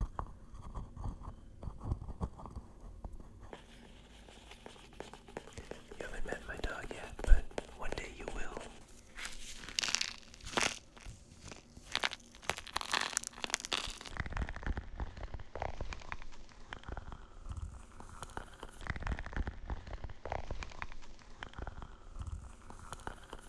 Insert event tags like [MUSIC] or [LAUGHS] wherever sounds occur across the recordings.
You haven't met my dog yet, but one day you will.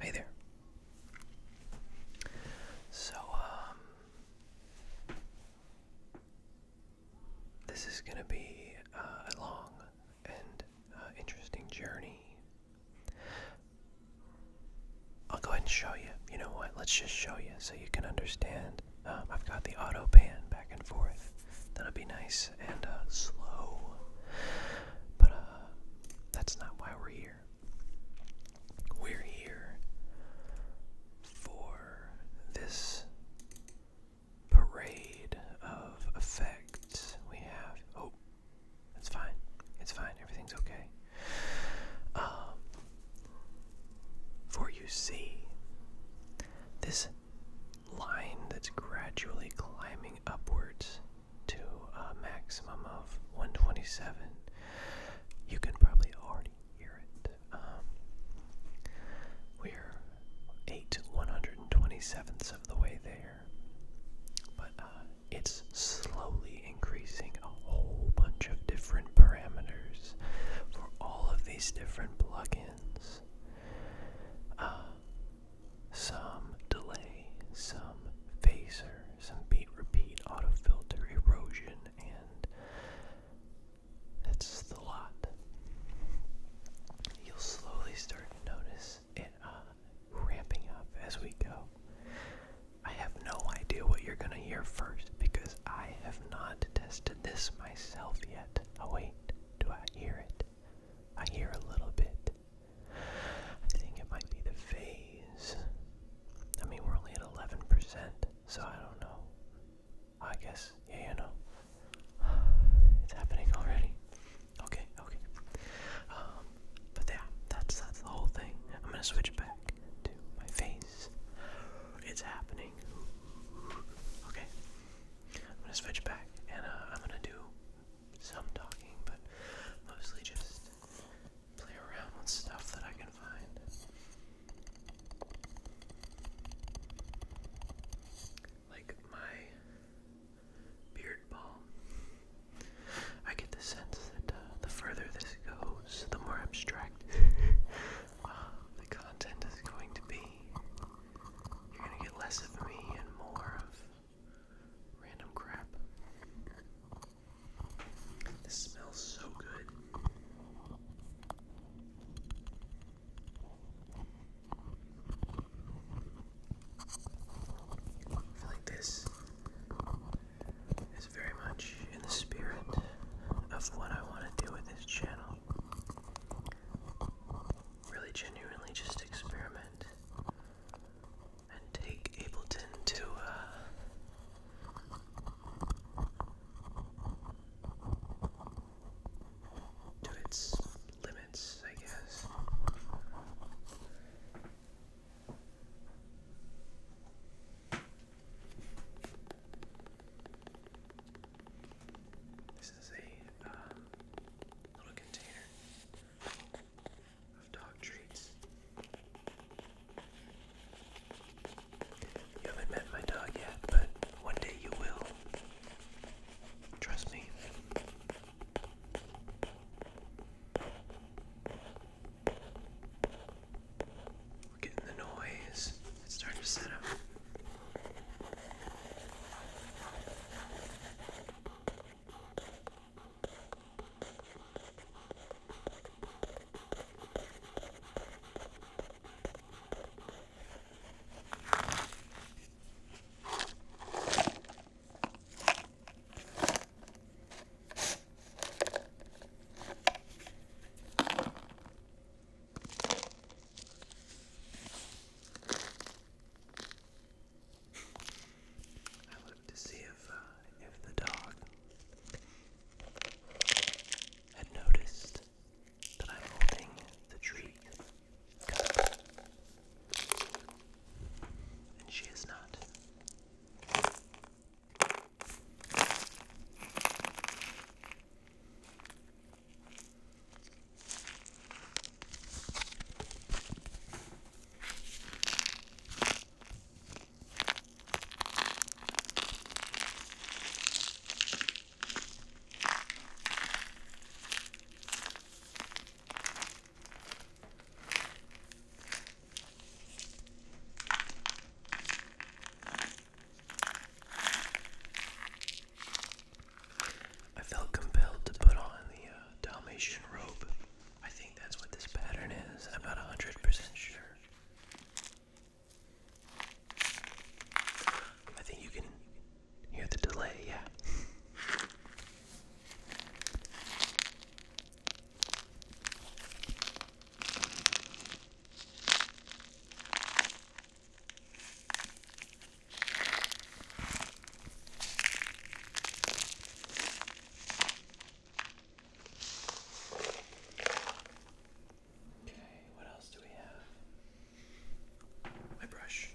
Hey there. So, um, this is going to be uh, a long and uh, interesting journey I'll go ahead and show you. You know what? Let's just show you so you can understand. Um, I've got the auto pan back and forth. That'll be nice and uh, slow. But uh, that's not why we're here. We're here for this parade of effects. We have. Oh, it's fine. It's fine. Everything's okay. Um, for you see, this line that's gradually climbing upwards to a maximum of 127, you can probably already hear it. Um, we're 8 127ths of the way there. But uh, it's slowly increasing a whole bunch of different parameters for all of these different plugins. Uh, some delay, some phaser, some beat repeat, auto filter, erosion, and that's the lot. You'll slowly start to notice this uh, ramping up as we go. I have no idea what you're gonna hear first because I have not tested this myself yet. Oh wait, do I hear it? I hear a little bit. I think it might be the phase. I mean, we're only at 11%, so I don't know. I guess, yeah, you know. [SIGHS] It's happening already. Okay, okay. Um, but yeah, that's that's the whole thing. I'm gonna switch back to my face. It's happening. Okay, I'm gonna switch back, and uh, I'm gonna do some talking, but mostly just play around with stuff that I can find. Like my beard balm. I get the sense that uh, the further this goes, the more abstract [LAUGHS] uh, the content is going to be. You're gonna get less of me and more of random crap. This smells so good. feel like this is very much in the spirit of what I want to do with this channel. Really genuinely just experiment and take Ableton to uh, its limits, I guess. This is a uh, little container of dog treats. You haven't met my dog yet, but one day you will. Trust me. We're getting the noise. It's starting to set up. I looked to see if uh, if the dog had noticed that I'm holding the treat cup. And she is not. I felt compelled to put on the uh, Dalmatian robe. I think that's what this pattern is. I'm not 100% sure. I think you can Hear the delay, yeah. Okay, what else do we have? My brush.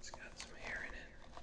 It's got some hair in it.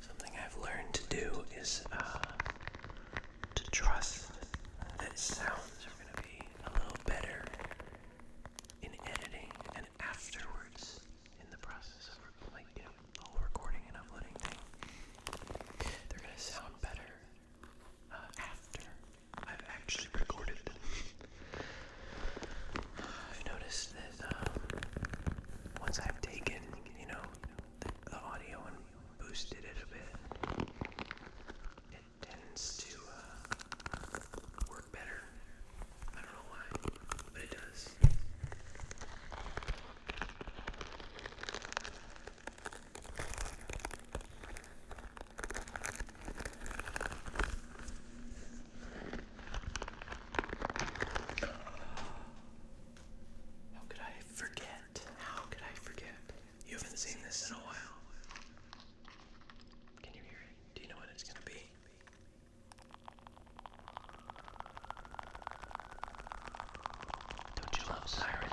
Something I've learned to do is uh, to trust that sounds are going to be a little better in editing and afterwards in the process of like you know the whole recording and uploading thing. They're going to sound better uh, after I've actually recorded I've noticed that um, once I've taken, you know, the, the audio and boosted it a bit, it tends to uh, work better. I don't know why, but it does. How could I forget? How could I forget? You haven't seen this in a while. Can you hear it? Do you know what it's going to be? Don't you love sirens?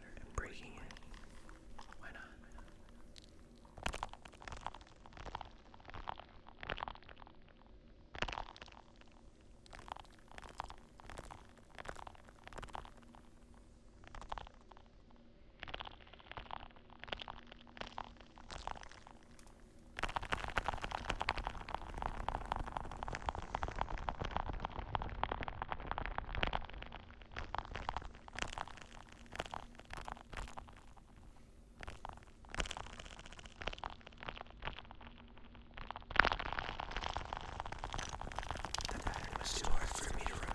I'm breaking it. Why not? The pattern was too hard for me to remember.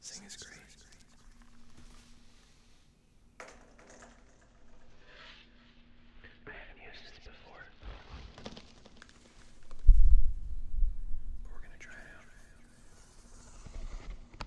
Sing is great. I haven't used this before. But we're gonna try it out.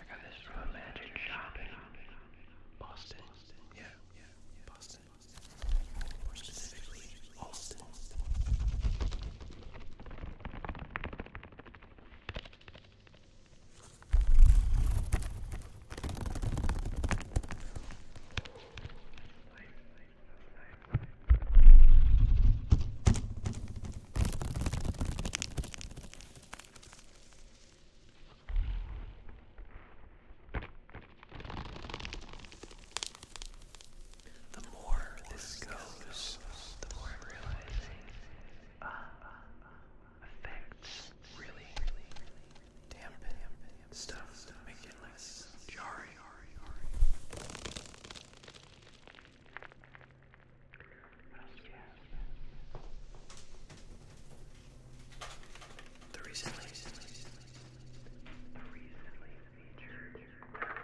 I got this romantic shot in Boston. Yeah, yeah, Boston. More specifically, Alston. I the more this goes, the more I'm realizing uh, effects really dampen stuff, make it less jarring hurry, hurry. What else do you have? The recently, the recently featured gun.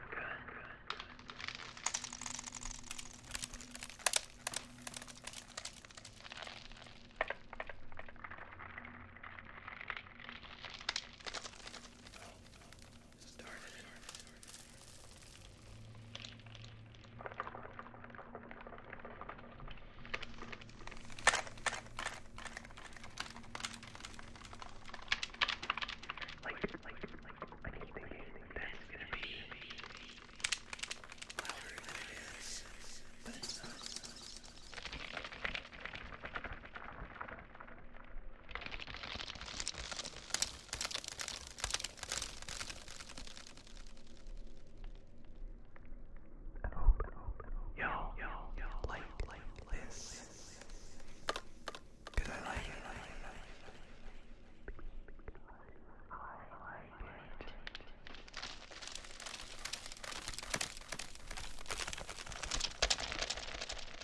Started. Like, like, like, I keep thinking that's gonna be louder than it is, but it's not. Yo, yo, yo, like, like this. Cause I like it, I like it, I like it. I like it.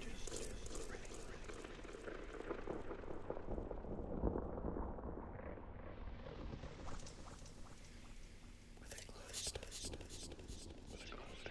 Just, just really, really. With a closed, with a closed, with a closed.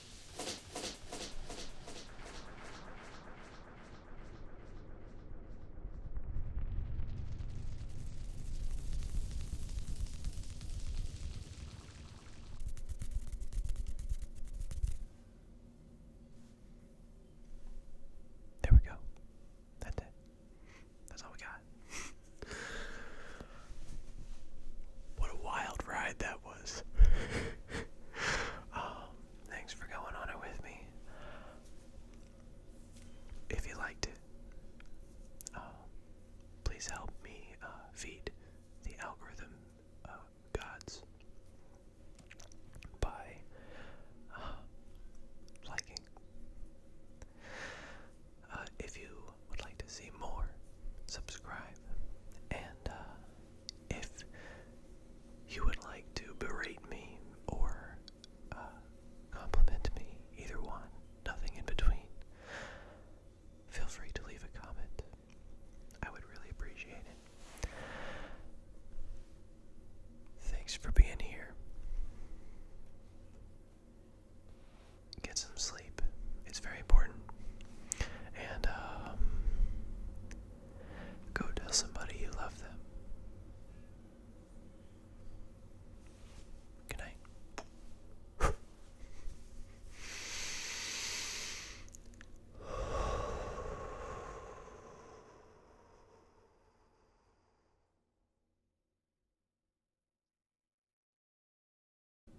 There we go. That's it. That's all we got. [LAUGHS] What a wild ride that was. [LAUGHS] Um, thanks for going on it with me. If you liked it, uh, please help me uh, feed the algorithm uh, gods by liking. if you would like to see more, subscribe. And uh, if you would like to berate me or uh, compliment me, either one, nothing in between, feel free to leave a comment. I would really appreciate it. Thanks for being here. Get some sleep. It's very important. And um, go tell somebody you love them. Good night.